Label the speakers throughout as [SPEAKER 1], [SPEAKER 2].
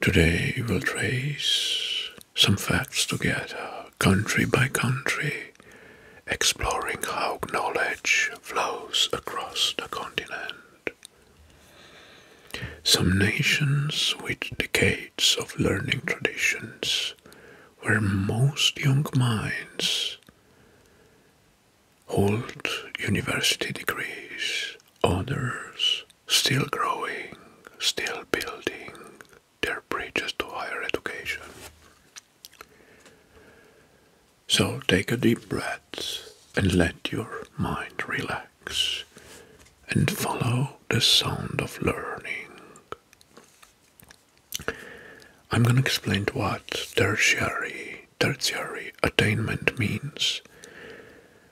[SPEAKER 1] Today we'll trace some facts together, country by country, exploring how knowledge flows across the continent. Some nations with decades of learning traditions, where most young minds hold university degrees, honors still growing, still building their bridges to higher education. So take a deep breath and let your mind relax and follow the sound of learning. I'm going to explain what tertiary, tertiary attainment means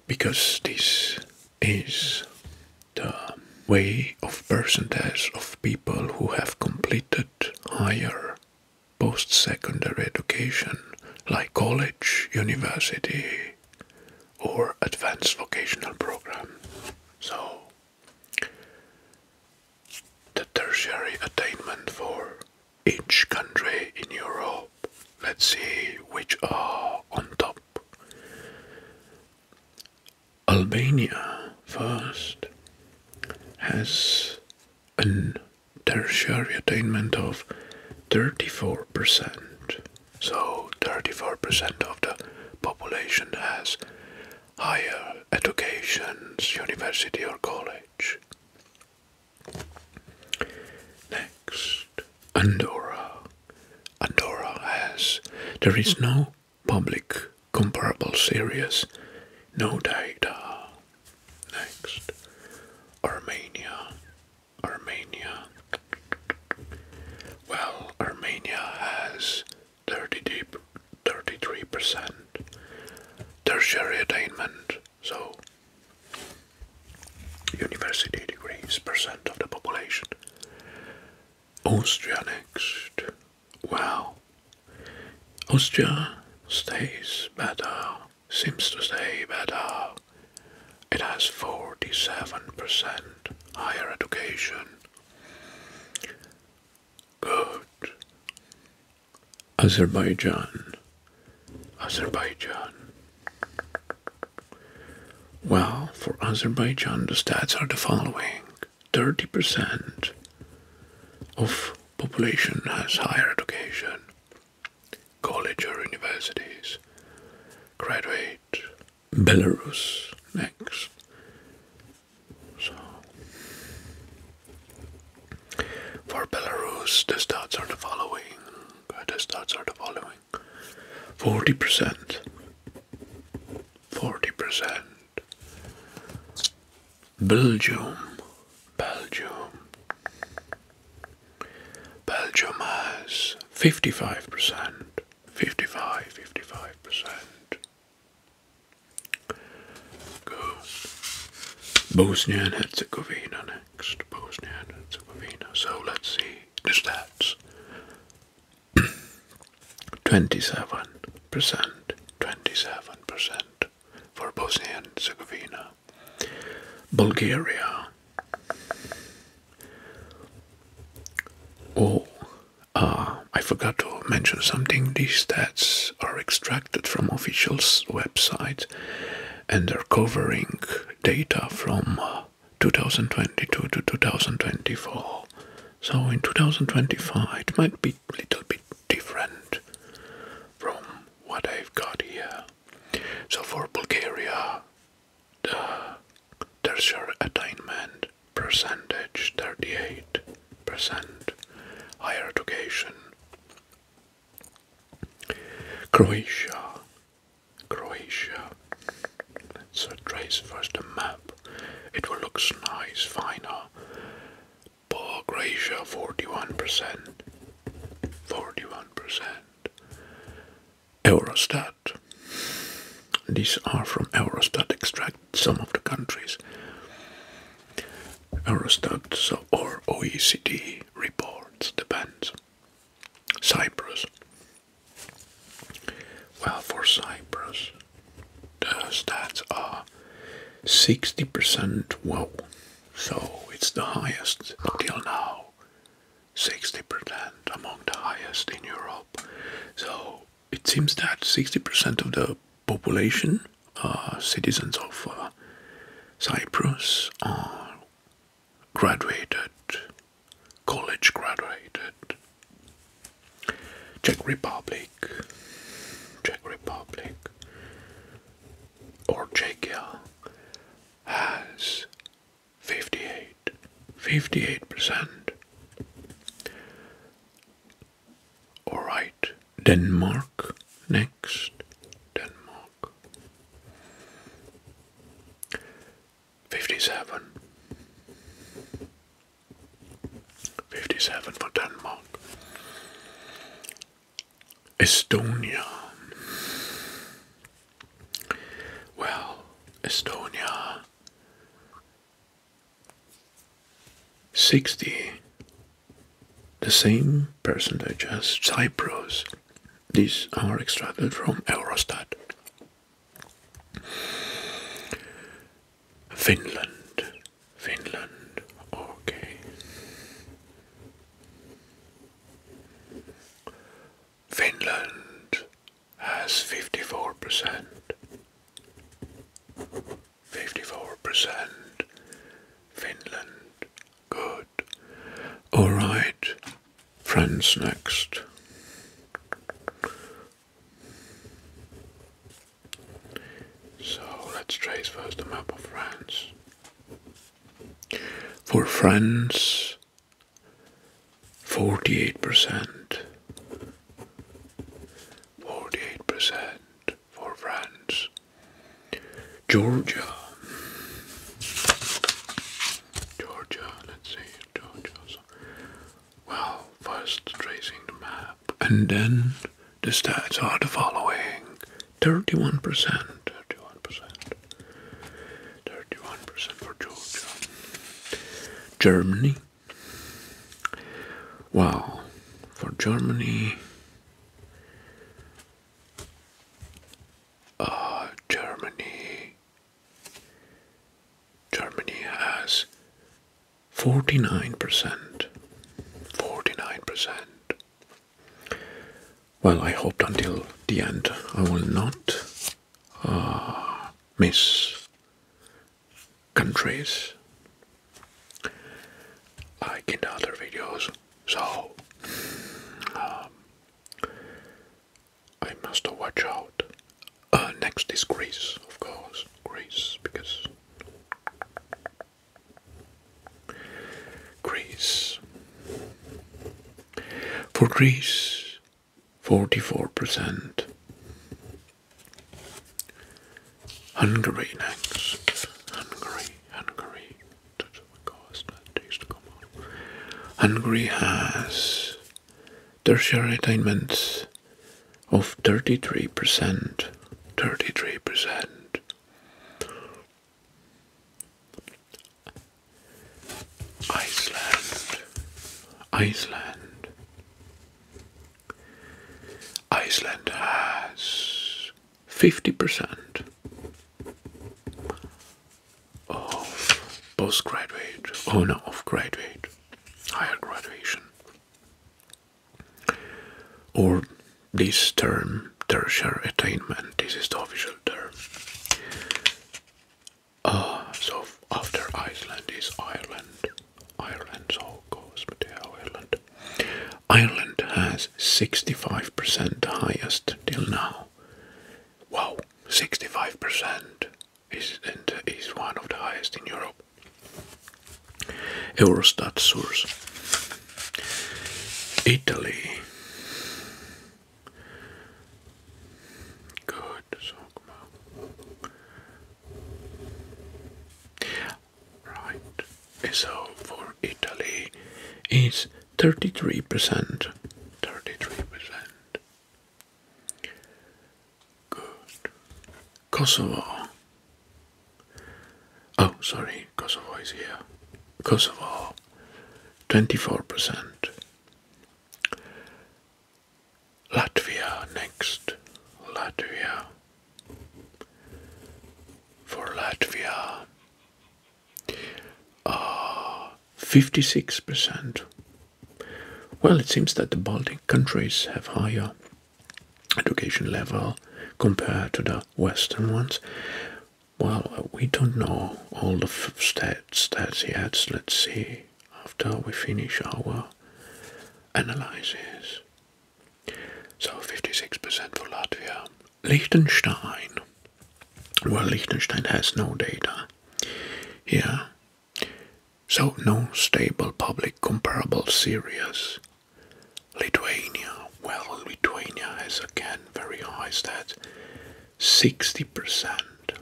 [SPEAKER 1] because this is the way of percentage of people who have completed higher post secondary education like college, university, or advanced vocational program. So, the tertiary attainment for each country in Europe Let's see which are on top. Albania first has a tertiary attainment of 34%. So 34% of the population has higher education, university or college. Next, Andorra. Andorra has. There is no public comparable series, no data. Next, Armenia. Armenia. Well, Armenia has 33% tertiary attainment so, university degrees percent of the population. Austria next. Austria stays better, seems to stay better. It has 47% higher education. Good. Azerbaijan. Azerbaijan. Well, for Azerbaijan, the stats are the following 30% of population has higher education, college or universities, graduate. Belarus next. So, for Belarus, the stats are the following greatest thoughts are the following 40%. 40%. Belgium. Belgium. Belgium has 55%. 55, 55%. Good. Bosnia and Herzegovina next? Bosnia and Herzegovina. So let's see the stats. 27%, 27% for Bosnia and Herzegovina. Bulgaria. Oh, uh, I forgot to mention something. These stats are extracted from officials' website and they're covering data from uh, 2022 to 2024. So in 2025, it might be a little bit different from what I've got here. So for Bulgaria, the tertiary attainment percentage 38%, higher education Croatia. Croatia. Let's uh, trace first a map. It will look nice, finer. Uh, but Croatia, 41%. 41%. Eurostat. These are from Eurostat, extract some of the countries. Eurostat so, or OECD reports depend. Cyprus. Well, for Cyprus, the stats are 60% Whoa, so it's the highest till now. 60% among the highest in Europe. So it seems that 60% of the population citizens of uh, Cyprus are graduated, college graduated. Czech Republic, Czech Republic, or Czechia has 58, percent Alright, Denmark. Next, Denmark. 57. 57 for Denmark. Estonia. Well, Estonia. 60 the same percentage as Cyprus. These are extracted from Eurostat. Finland, Finland, okay. Finland has 54%. 54%. Finland Good. All right. Franz next. So let's trace first the map of France. For France, 48%. 48% for France. Georgia. Georgia, let's see, Georgia. well, first tracing the map and then the stats are the following 31%, 31%, 31% for Georgia. Germany. Well, for Germany, Germany. Germany has 49%. 49%. Well, I hoped until the end I will not uh, miss countries like in other videos. So, um, I must watch out. Uh, next is Greece, of course. Greece, because Greece. For Greece, 44%. Hungary next. Hungary, Hungary. has tertiary attainment of 33%. 33%. Iceland. Iceland. Iceland has 50% of postgraduate, owner oh of graduate, higher graduation. Or this term, tertiary attainment, this is the official term. Uh, so after Iceland is Ireland, Ireland, so goes Ireland. Ireland has 65% highest till now. Wow, 65% uh, is, one of the highest in Europe. Eurostat source. Italy. Good. Right. So for Italy, is 33%. 33%. Good. Kosovo. Oh, sorry, Kosovo is here. Kosovo, 24%. Latvia next. Latvia, for Latvia, uh, 56%. Well, it seems that the Baltic countries have higher education level compared to the Western ones. Well, uh, we don't know all the stats, stats yet. Let's see after we finish our analyses. So 56% for Latvia. Liechtenstein. Well, Liechtenstein has no data here. So no stable public comparable series. Lithuania. Well, Lithuania has again very high stats. 60%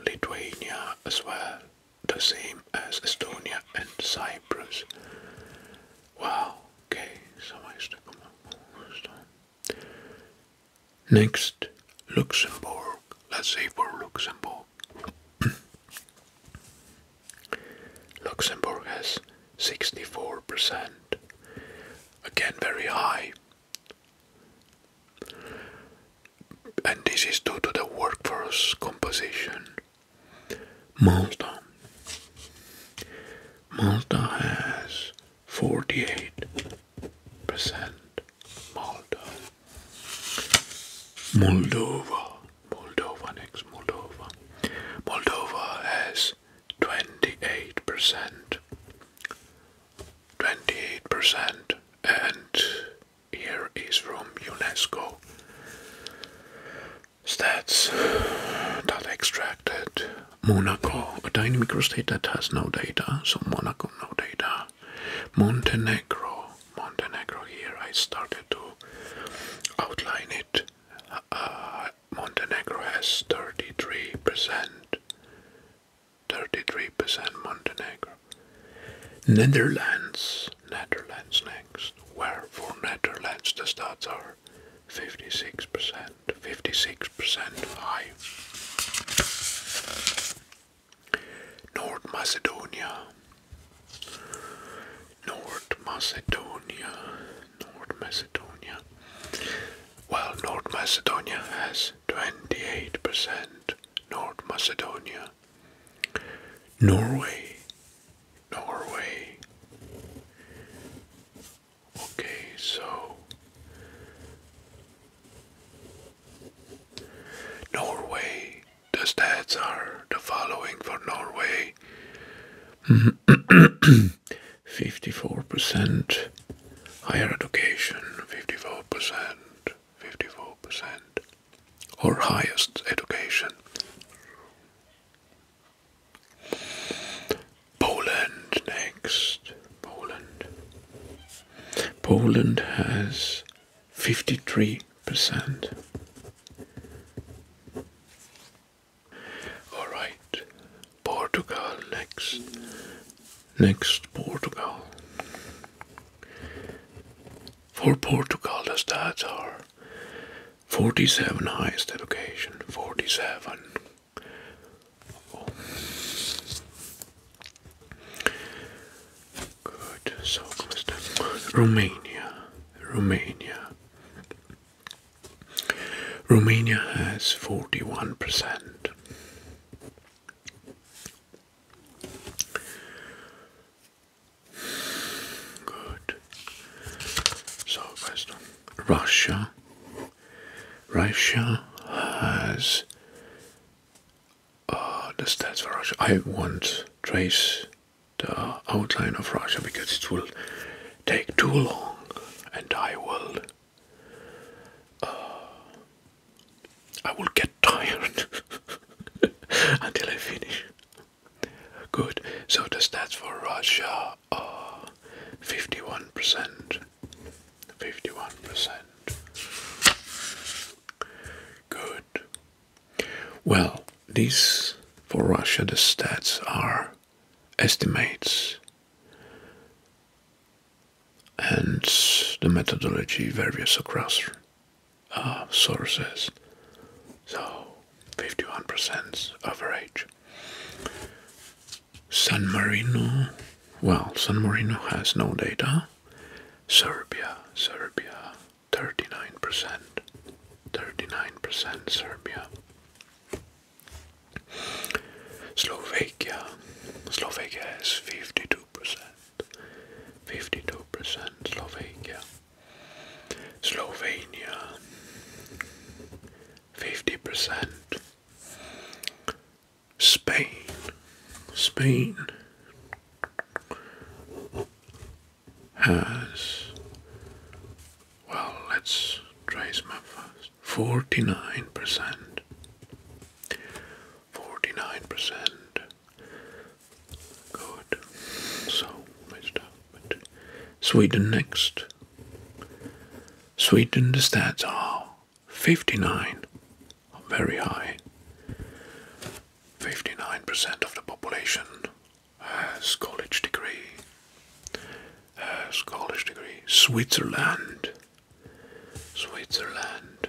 [SPEAKER 1] Lithuania as well. The same as Estonia and Cyprus. Wow, okay, somebody's to come up first Next, Luxembourg. Let's say for Luxembourg. Luxembourg has 64%. Again, very high. And this is due to the workforce composition Malta. Malta has 48% Malta. Moldova. Moldova next. Moldova. Moldova has 28%. 28% and here is from UNESCO Stats data extracted. Monaco, a tiny microstate that has no data, so Monaco no data. Montenegro, Montenegro here I started to outline it. Uh, Montenegro has 33%. 33% Montenegro. Netherlands, Netherlands next, where for Netherlands the stats are 56%, 56% high. North Macedonia, North Macedonia, North Macedonia. Well, North Macedonia has 28%. North Macedonia Norway. Norway. Okay, so Norway. The stats are the following for Norway 54% higher education, 54%, 54% or highest education. Poland next. Poland. Poland has 53%. All right. Portugal next. Next Portugal for Portugal, the stats are 47 highest education, 47. Good, so Romania, Romania. Romania has 41%. Good. So, based Russia, Russia has uh, the stats for Russia. I won't trace the outline of Russia because it will take too long and I will uh, I will get tired until I finish Good. So the stats for Russia are 51%. 51%. Good. Well, these for Russia, the stats are estimates and the methodology varies across uh, sources. So 51% average. San Marino, well, San Marino has no data. Serbia, Serbia, 39%, 39% Serbia. Slovakia, Slovakia has 52%. 52% Slovakia. Slovenia 50%. Spain. Spain has well let's trace map first. Forty nine percent. 49%. Good. So, let Sweden next. Sweden, the stats are 59, very high. 59% of the population has college degree. Has college degree. Switzerland. Switzerland.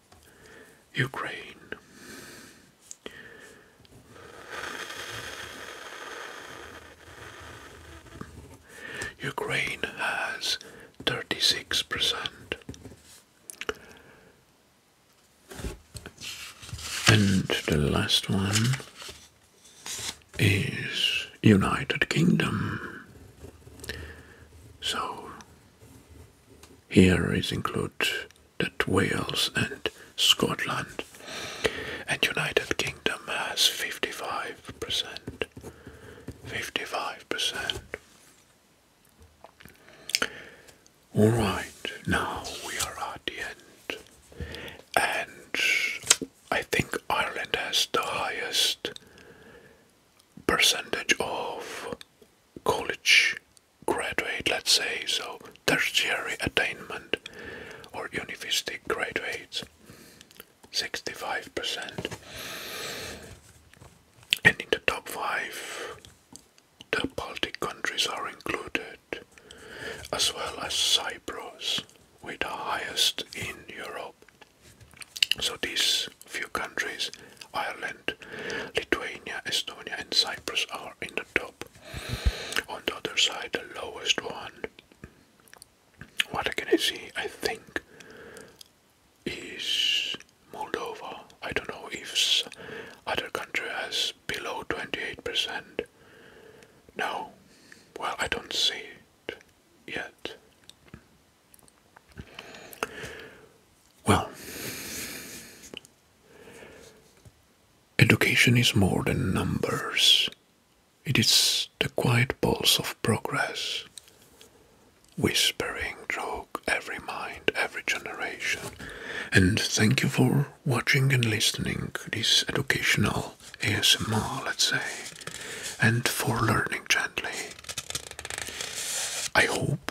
[SPEAKER 1] Ukraine. Ukraine has 36% and the last one is United Kingdom. So here is include that Wales and Scotland. And United Kingdom has 55%. 55%. Alright, now we are at the end. And I think Ireland has the highest percentage of college graduate, let's say, so tertiary attainment or university graduates, 65%. And in the top 5, the Baltic countries are included, as well as Cyprus, with the highest in Europe. So these few countries, Ireland, Lithuania, Estonia and Cyprus are in the top. On the other side, the lowest one, what can I see? I think is Moldova. I don't know if other country has below 28%. No, well, I don't see it yet. Well, education is more than numbers. It is the quiet pulse of progress, whispering through every mind, every generation. And thank you for watching and listening to this educational ASMR, let's say, and for learning gently. I hope